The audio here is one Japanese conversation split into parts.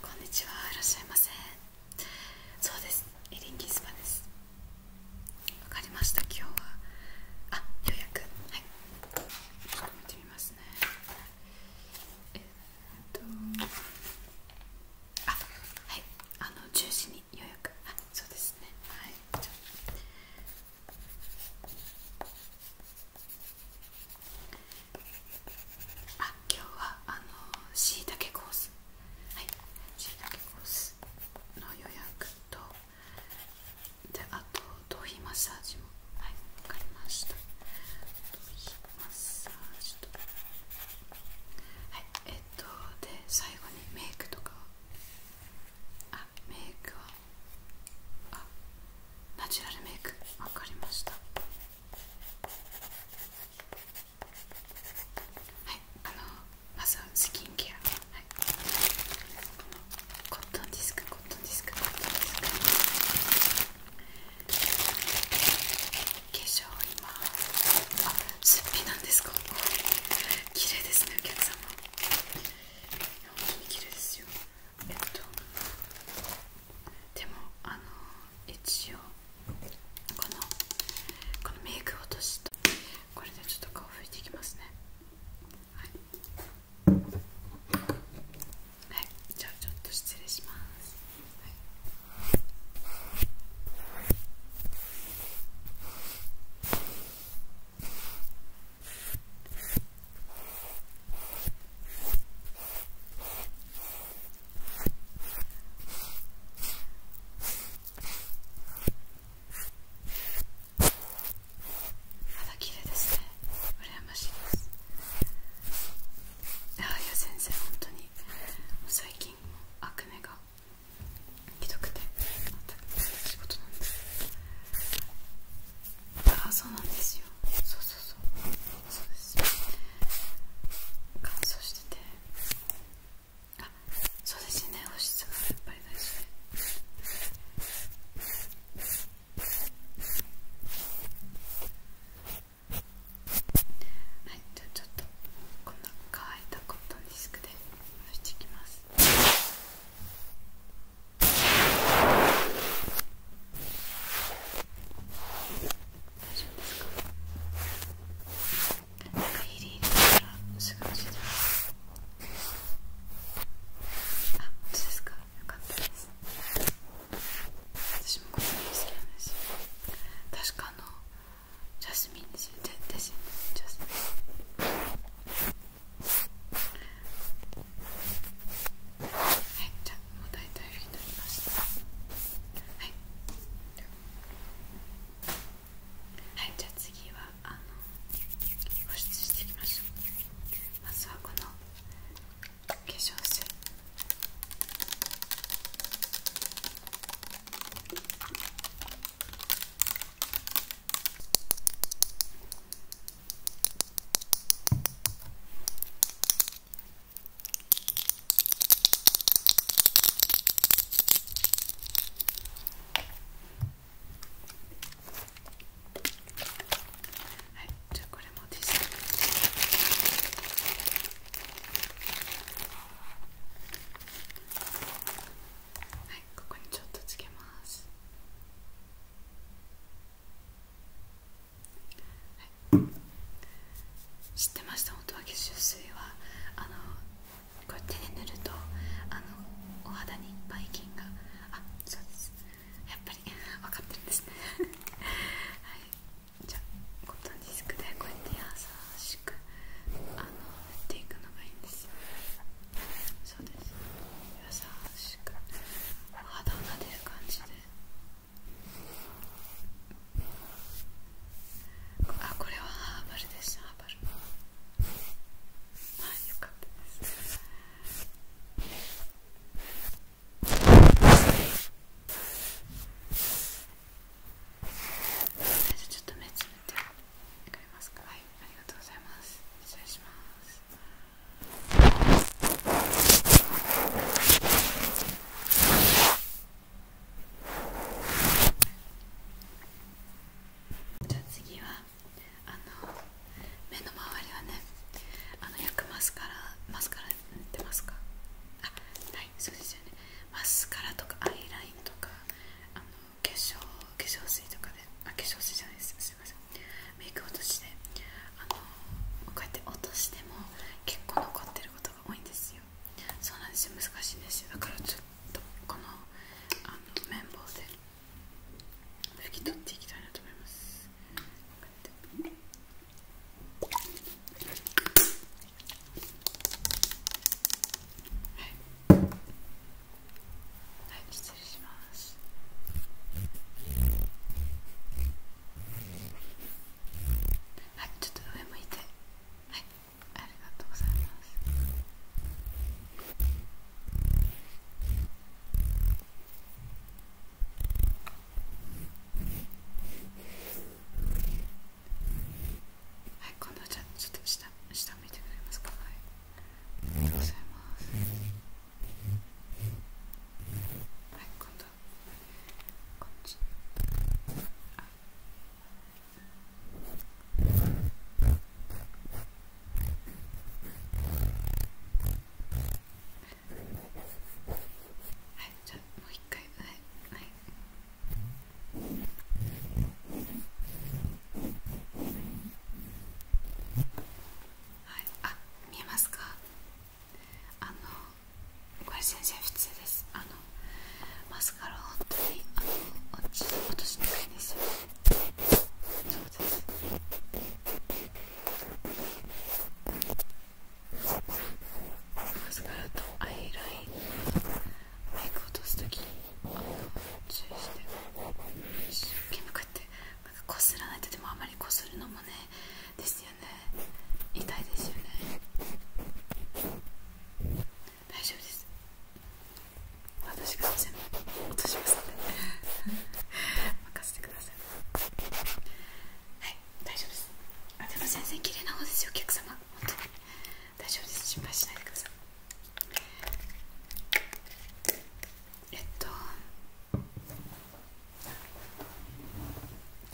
こんにちはいらっしゃいませそうですエリンギスパですわかりました今日はあようやくはいちょっと見てみますねえっとあはいあの10時に予約あそうですねはいじゃああ今日はあのしいたけコースはいしいたけコースの予約とであと頭皮マッサージもはい分かりました頭皮マッサージとはいえっとで最後にメイクとかあメイクはあナチュラルメイク分かりましたはいあのまずスキンケアいコットンディスクコットンディスク化粧今すっぴなんですか綺麗ですねお客様綺麗ですよえっとでもあの一応このこのメイク落としとこれでちょっと顔拭いていきますねはい、はい、じゃあちょっと失礼します、はい肌綺麗ですね羨ましいですああいや先生本当に最近アクネがひどくて仕事なんですああそうなんですよそうそうそうそうです乾燥しててあそうですね保湿がやっぱり大事で。はいじゃあちょっとこの乾いたコットンディスクで押していきます大丈夫ですかなんかヒリヒリからすぐ落てまあ、本当でかったです私もこれ好きなんですよ確かあのジャスミンですよジャスミジャスミンはいじゃあもう大体になりましたはいはいじゃあ次はあの保湿していきましょうまずはこの化粧水はいはい、じゃあこれもティッシュはい、ここにちょっとつけます。知ってました音は吸水はあのこれ手で塗るとあのお肌にいっぱい菌があそうですやっぱり分かってるんですね はいじゃあコットンディスクでこうやって優しくあの塗っていくのがいいんですよそうです優しくお肌を撫でる感じであこれはハバルでしたバルはいよかったですちょっと目つぶってくれますかはいありがとうございます失礼しますじゃあ次はあの目の周りはねあの焼くマスカラマスカラ塗ってますかあないそうですよねマスカラとかアイラインとかあの化粧化粧水とかであ化粧水じゃないですすいませんメイク落としてあのこうやって落としても結構残ってることが多いんですよそうなんですよ難しいんですよだからちょっとこのあの綿棒で拭き取っていきたいなと思いますはい、はい、失礼しますはいちょっと上向いてはいありがとうございますはい今度じゃちょっと下下向いてくれますかはいありがとうございますはい今度こっちあはいじゃあもう一回はいはいはいあ見えますかあのこれ全然普通ですあのマスカラ本当に落ち落としにくいんですよそうですマスカラとアイラインメイク落とすとき注意して一生懸命こうやってこすらないとでもあまりこするのもねですね痛いですよね大丈夫です私が全部落としますので 任せてくださいはい大丈夫ですあでも全然綺麗な方ですよお客様本当に大丈夫です心配しないでくださいえっと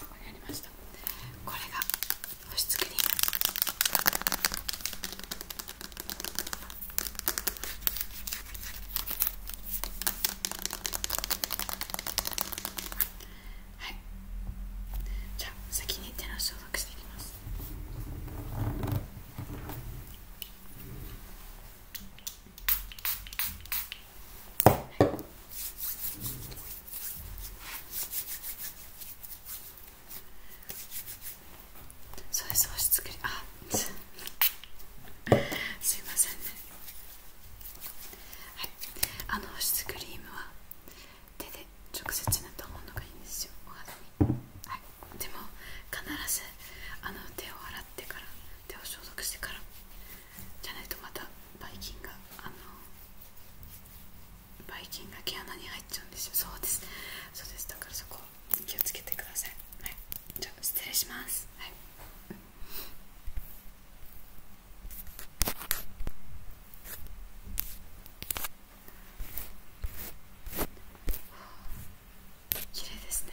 こにありましたこれが保湿クリームはいじゃあ先に手の消毒していきますはいそうです押しつり、あすいませんねはいあの保つクリームは手で直接塗ったものがいいんですよお肌にはいでも必ずあの手を洗ってから手を消毒してからじゃないとまたばい菌があのばい菌が毛穴に入っちゃうんですよそうですそうですだからそこ気をつけてくださいはいじゃあ失礼しますはい綺麗ですね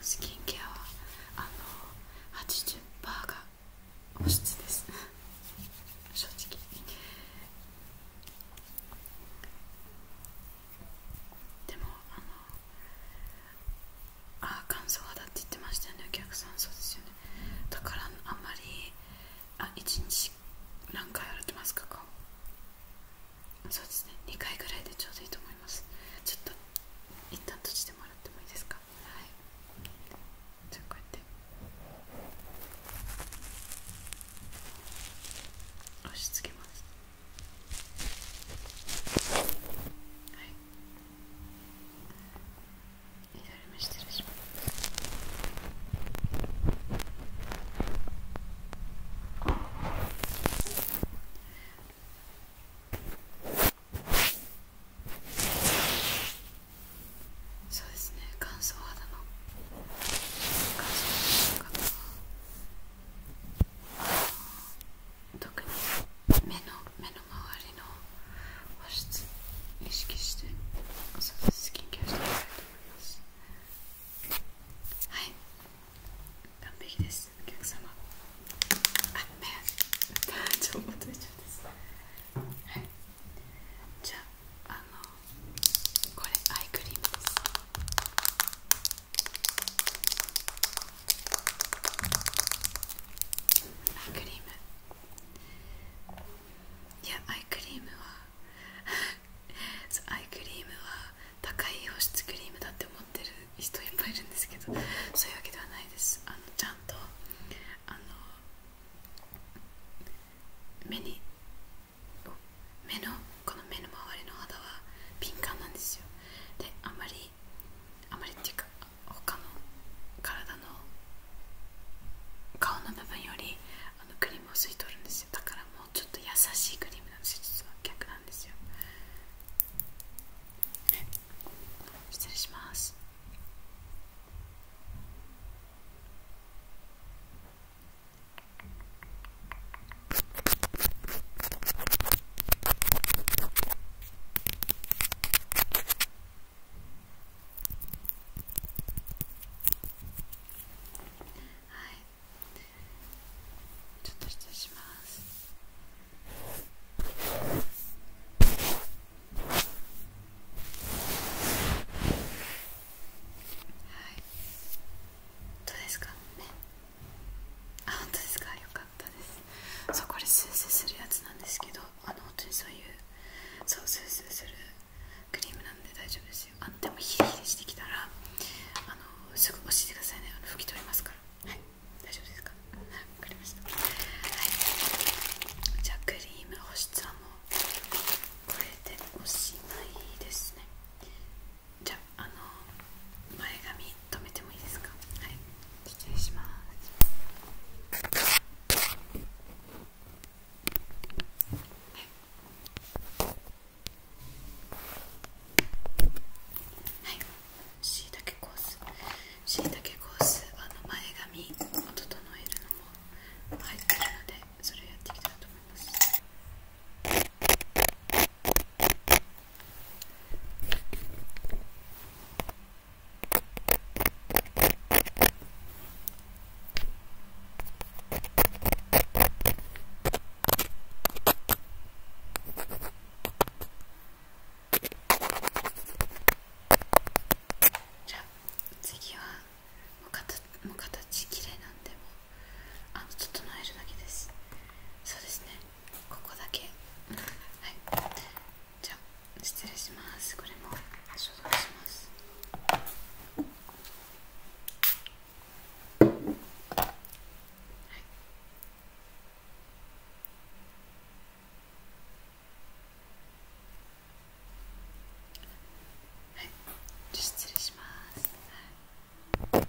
スキンケアはあの80%が保湿です正直でもあのあ乾燥肌って言ってましたよねお客さんそうですよねだからあんまりあ1日何回洗ってますか顔そうですね2回ぐらいでちょうどいいと思いますちょっと一旦閉じてもらってもいいですかはいじゃあこうやって押し付けますはい左目失礼しますそうですね乾燥肌の乾燥肌の方は特に目の目の周りの保湿意識してスキンケアしていきたいと思いますはい完璧ですお客様あっめ ちょちゃったはいじゃああのこれアイクリームですアイクリームいやアイクリームは アイクリームは高い保湿クリームだって思ってる人いっぱいいるんですけどそういうわけではないですあのちゃんとあの目に目のこの目の周りの肌は敏感なんですよであんまりあまりっていうか他の体の顔の部分よりあのクリームを吸い取るんですよだからもうちょっと優しいクリームなんです逆なんですよ失礼しますはいちょっと失礼しますどうですかねあ本当ですかよかったですそこれスースーするやつなんですけどあの本当にそういうそうスースーするクリームなんで大丈夫ですよあでもヒリヒリしてきたらあのすぐ教えてくださいねあの拭き取りますからはい大丈夫ですかわ、かりましたはいじゃクリーム保湿はもうこれでおしまいですねじゃあの前髪留めてもいいですかはい失礼しますはいしいたけコースしいたけコースあの前髪を整えるのも入ってるのでそれをやっていきたいと思いますじゃあ次はもう形きれいなんでもあの整えるだけですそうですねここだけはいじゃあ失礼しますこれも消毒しますはいはい、失礼します、はい、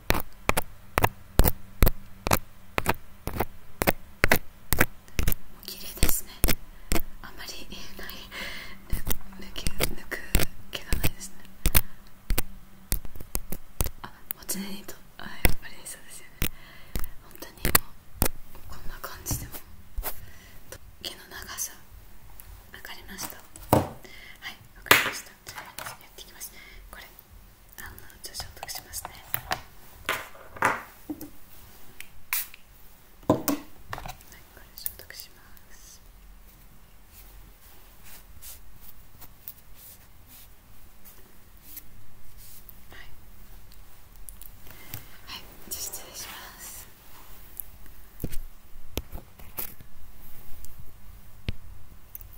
綺麗ですねあんまり言えない抜け抜く毛がないですねあもちろにとあやっぱりそうですよね本当にもうこんな感じでも毛の長さ分かりましたはい分かりましたじゃあやっていきますこれあのじゃ、っ消毒しますねはいこれ消毒しますはいはいじゃあ失礼します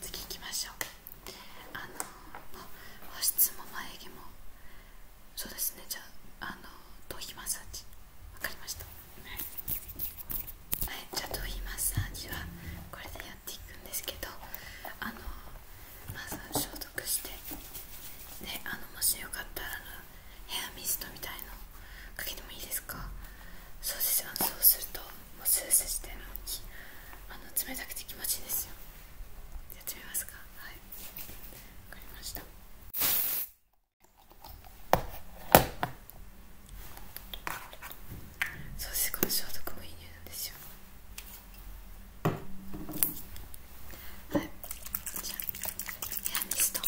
次行きましょうあの保湿も眉毛もそうですねじゃああの頭皮マッサージわかりましたはい、じゃあ頭皮マッサージはこれでやっていくんですけどあのまず消毒してであのもしよかったらヘアミストみたいのかけてもいいですかそうですあのそうするともうスースーしてるのにあの冷たくて気持ちいいですよやってめますかはい分かりましたそうですこの消毒もいい匂いなんですよはいじゃあヘアニスト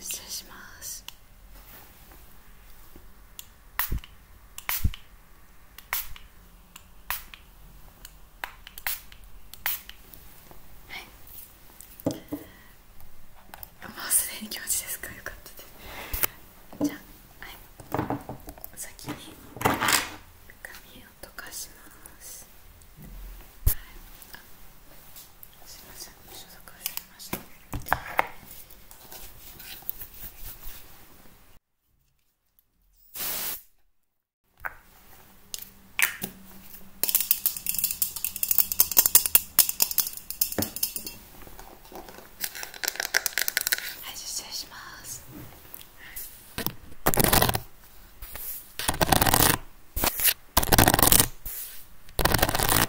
失礼しますはいもうすでに気持ちですかよかったですじゃあはい先に髪を溶かしますはいあすいません消毒でれ。はい失礼しますはい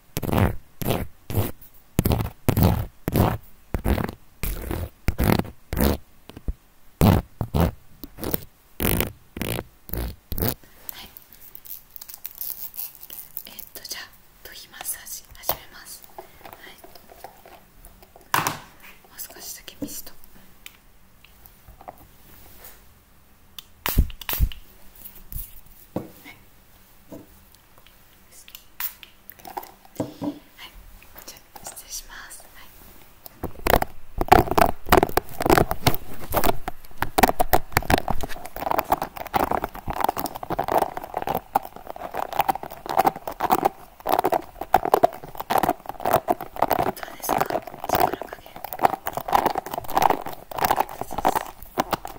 はい。えっとじゃあ頭皮マッサージ始めますもう少しだけミストはいはい、じゃあ失礼します。はいどうですか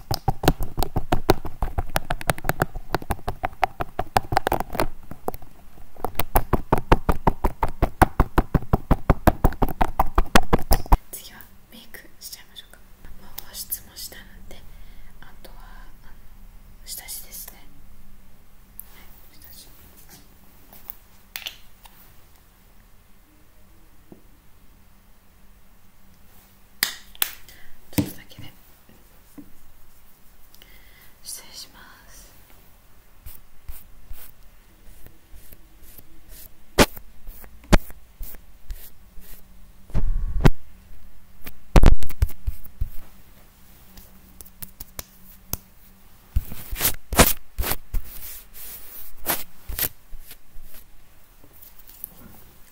次はメイクしちゃいましょうかもう保湿もしたのであとは下地ですねちょっとだけね失礼します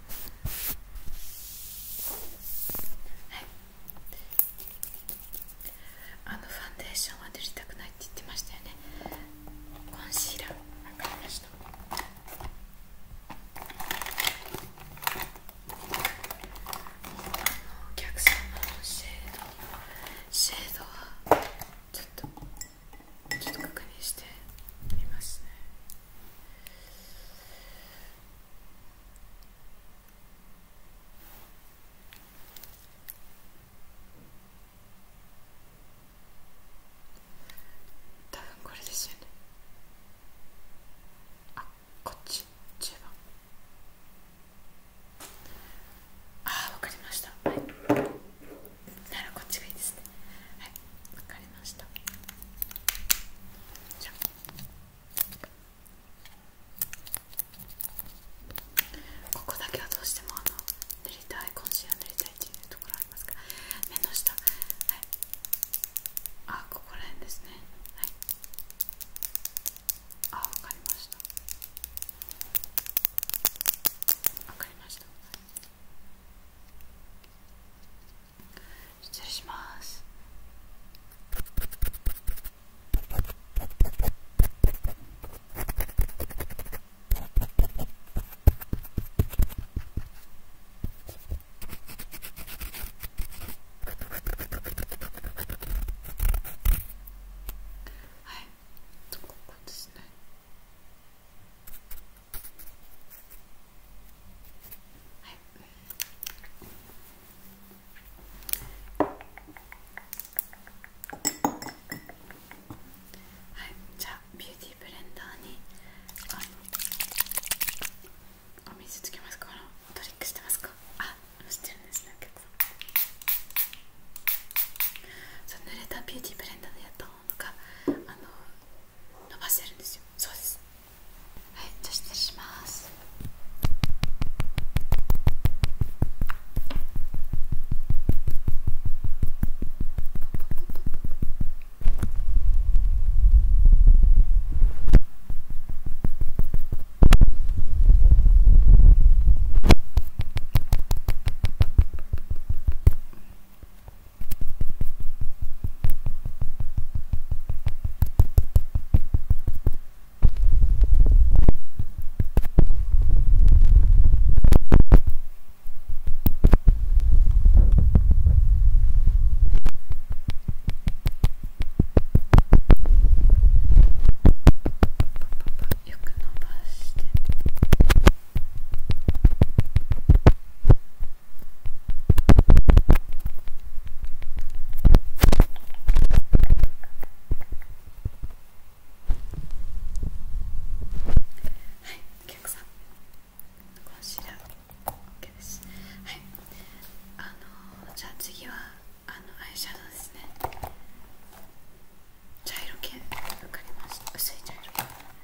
はいあのファンデーションは塗りたくないって言ってましたよねコンシーラー分かりましたお客様のシェードシェードはちょっとちょっと確認してみますねたぶんこれですよねあこっち10番ああ分かりました、はいならこっちがいいですねはいわかりましたじゃあここだけはどうしてもあの塗りたいコンはー塗りたいっていうところありますから目の下はいあここら辺ですねはいあわかりましたわかりましたはい失礼しますはいここですねはい、じゃあビューティーブレンダーにお水つけますかトリックしてますかあしてるんですねお客そう濡れたビューティーブレンダーでやったものがあの伸ばせるんですよそうですはいじゃあ失礼しますよく伸ばして。はい、お客さんこちら OK ですはいあのじゃあ次はあのアイシャドウですね茶色系分かります。薄い茶色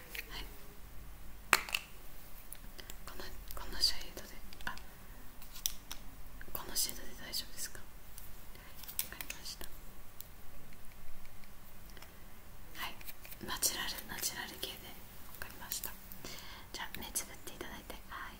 はいこのこのシェードであこのシェードで大丈夫ですかわかりましたはいナチュラルナチュラル系でわかりましたじゃあ目つぶっていただいてはいはい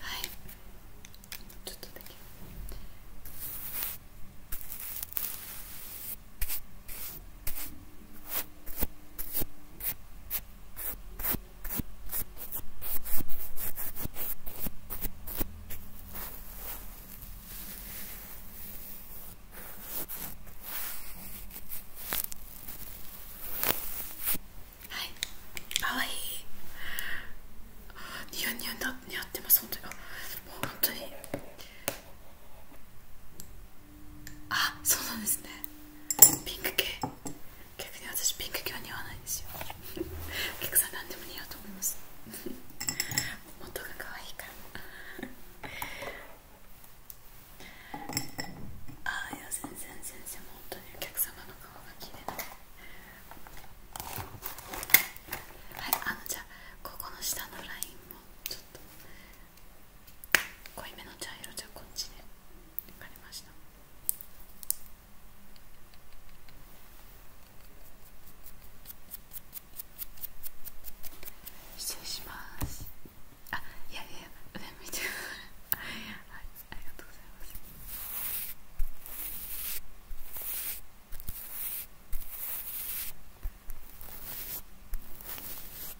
はいちょっとだけ。はいかわいいニヤニヤになってます本当にもう本当にあそうなんですねピンク系逆に私ピンク系は似合わないんですよお客 さん何でも似合うと思います元が 可愛いから ああいや全然全然もう本当にお客様の顔が綺麗だねはいあのじゃあここの下のラインもちょっと濃いめの茶色じゃこっちで分かりました失礼しますあいやいや上見てはいありがとうございます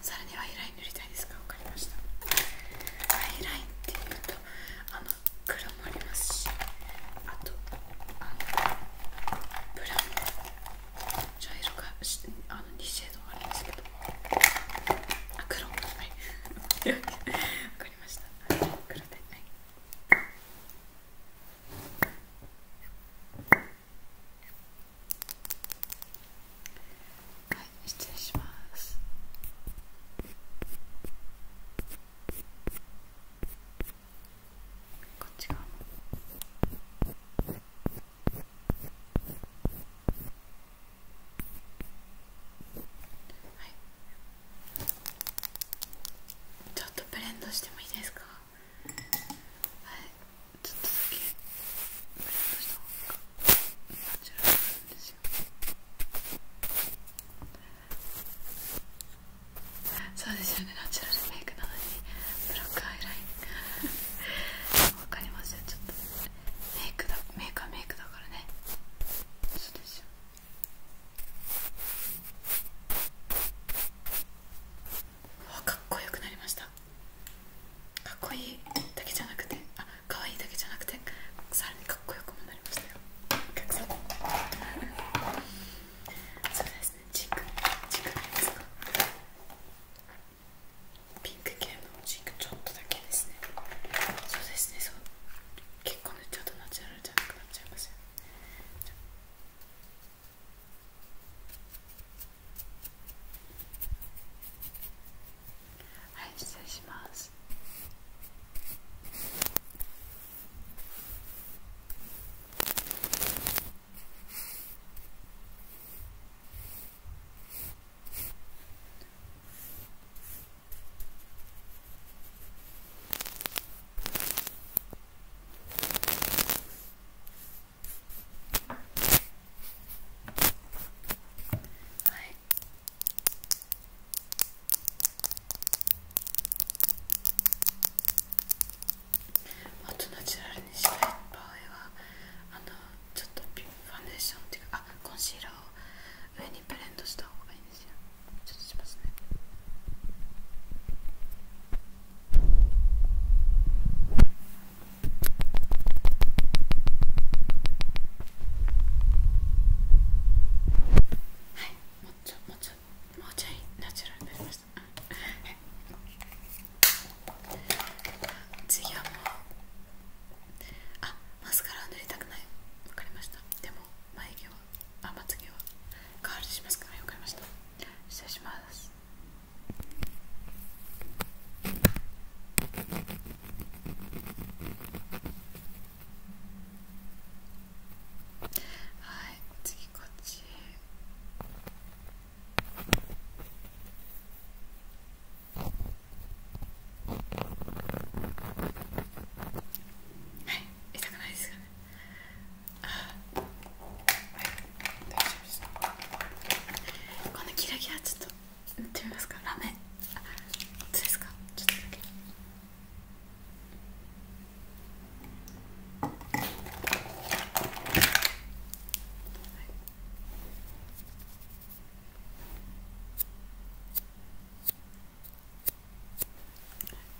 さらにアイライン塗りたいですか分かりましたアイラインっていうとあの黒もありますしあとブラウンの茶色があの2シェードありますけどあ黒もない分 かりました黒ではいないはい失礼しますこっち側もはいちょっとブレンドしてもいいですかはいちょっとだそうですよねメイクなのにブロックアイラインわかりますメイクだメイクはメイクだからねかっこよくなりましたかっこいいだけじゃなくてあ可愛いだけじゃなくてさらにかっこよくもなりましたよお客さんそうですねチークチークないですかピンク系のチークちょっとだけですねそうですねそう結構ね、ちょっとナチュラルじゃなくなっちゃいますよはい失礼しますはいもっとナチュラルにしたい場合はあのちょっとファンデーションっていうかあコンシーラーを上にブレンドした方がいいんですよちょっとしますねはいもうちょもうちょもうちょいナチュラルになりました、次はもうあマスカラは塗りたくないわかりましたでも眉毛はあまつ毛はカールしますからわかりました失礼しますはい次こっちはい痛くないですかねあはい大丈夫ですこのキラキラちょっと塗ってみますかラメあっちですかちょっとだけ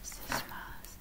失礼します。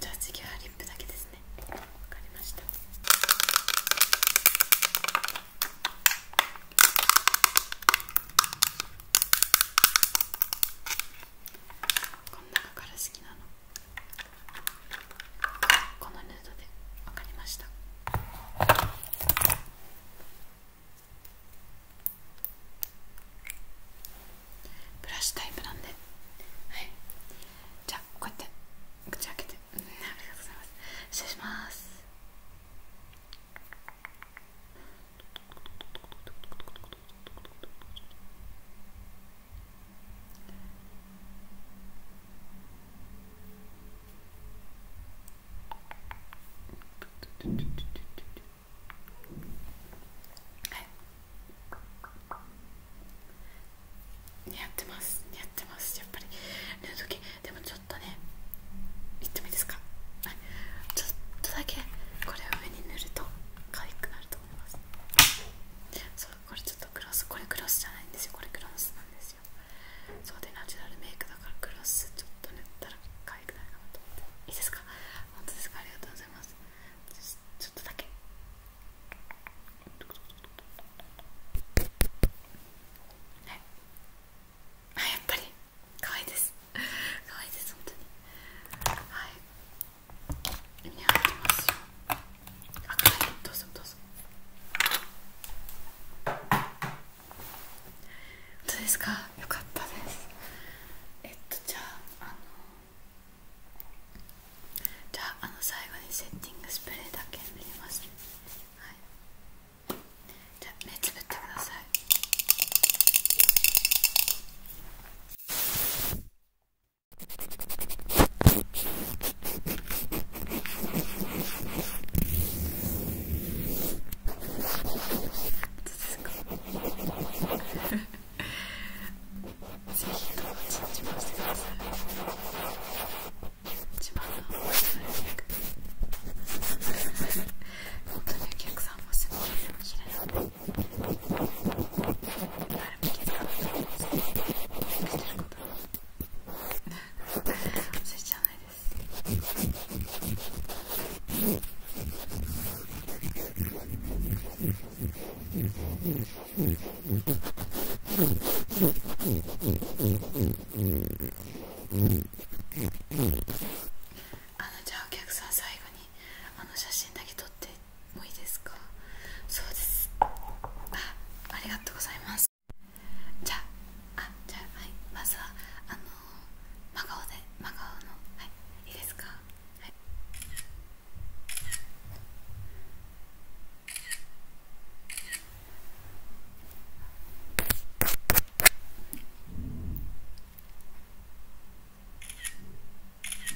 じゃあ次はリップだけですねわかりましたこんなから好きなのこのヌードでわかりましたブラシタイプなんではいじゃこうやって口開けて、ありがとうございます失礼しますはい似合ってます似合ってますやっぱりヌードでもちょっとねいってもいいですかはいちょっとだけこれを上に塗ると可愛くなると思いますそうこれちょっとクロスこれクロスじゃないんですよこれクロスなんですよそうでナチュラルメイクだからクロスちょっと塗ったら可愛くないかなと思っていいですか本当ですかありがとうございますちょっとだけはいあやっぱり可愛いです可愛いです本当にはい似合ってますよあはいどうぞどうぞ本当ですかよかったですえっとじゃああのじゃああの最後にセッティングスプレーだけ塗ります、ね、はいじゃあ目つぶってください ぜひ友達に自慢してください自慢のおしゃれメイ本当にお客さんもすごい綺麗なので誰も気づかないとうんですけどメイクしてること忘れちゃわないですじゃあお客さん最後にあの写真だけ撮ってもいいですかそうですあありがとうございますじゃああじゃあはいまずはあのー、真顔で真顔のはいいいですかはい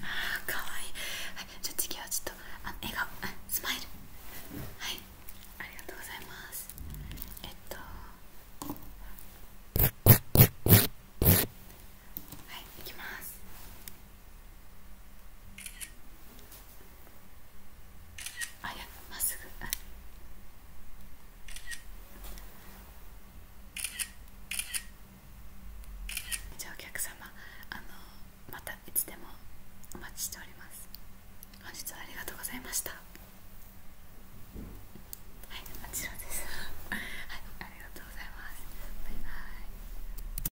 あーかわいいはいじゃあ次はちょっとあの笑顔あスマイルはいありがとうございますえっとはい、いきます。あやまっすぐあじゃあお客様あのまたいつでもお待ちしております本日はありがとうございましたはいもちろんですはいありがとうございますバイバイ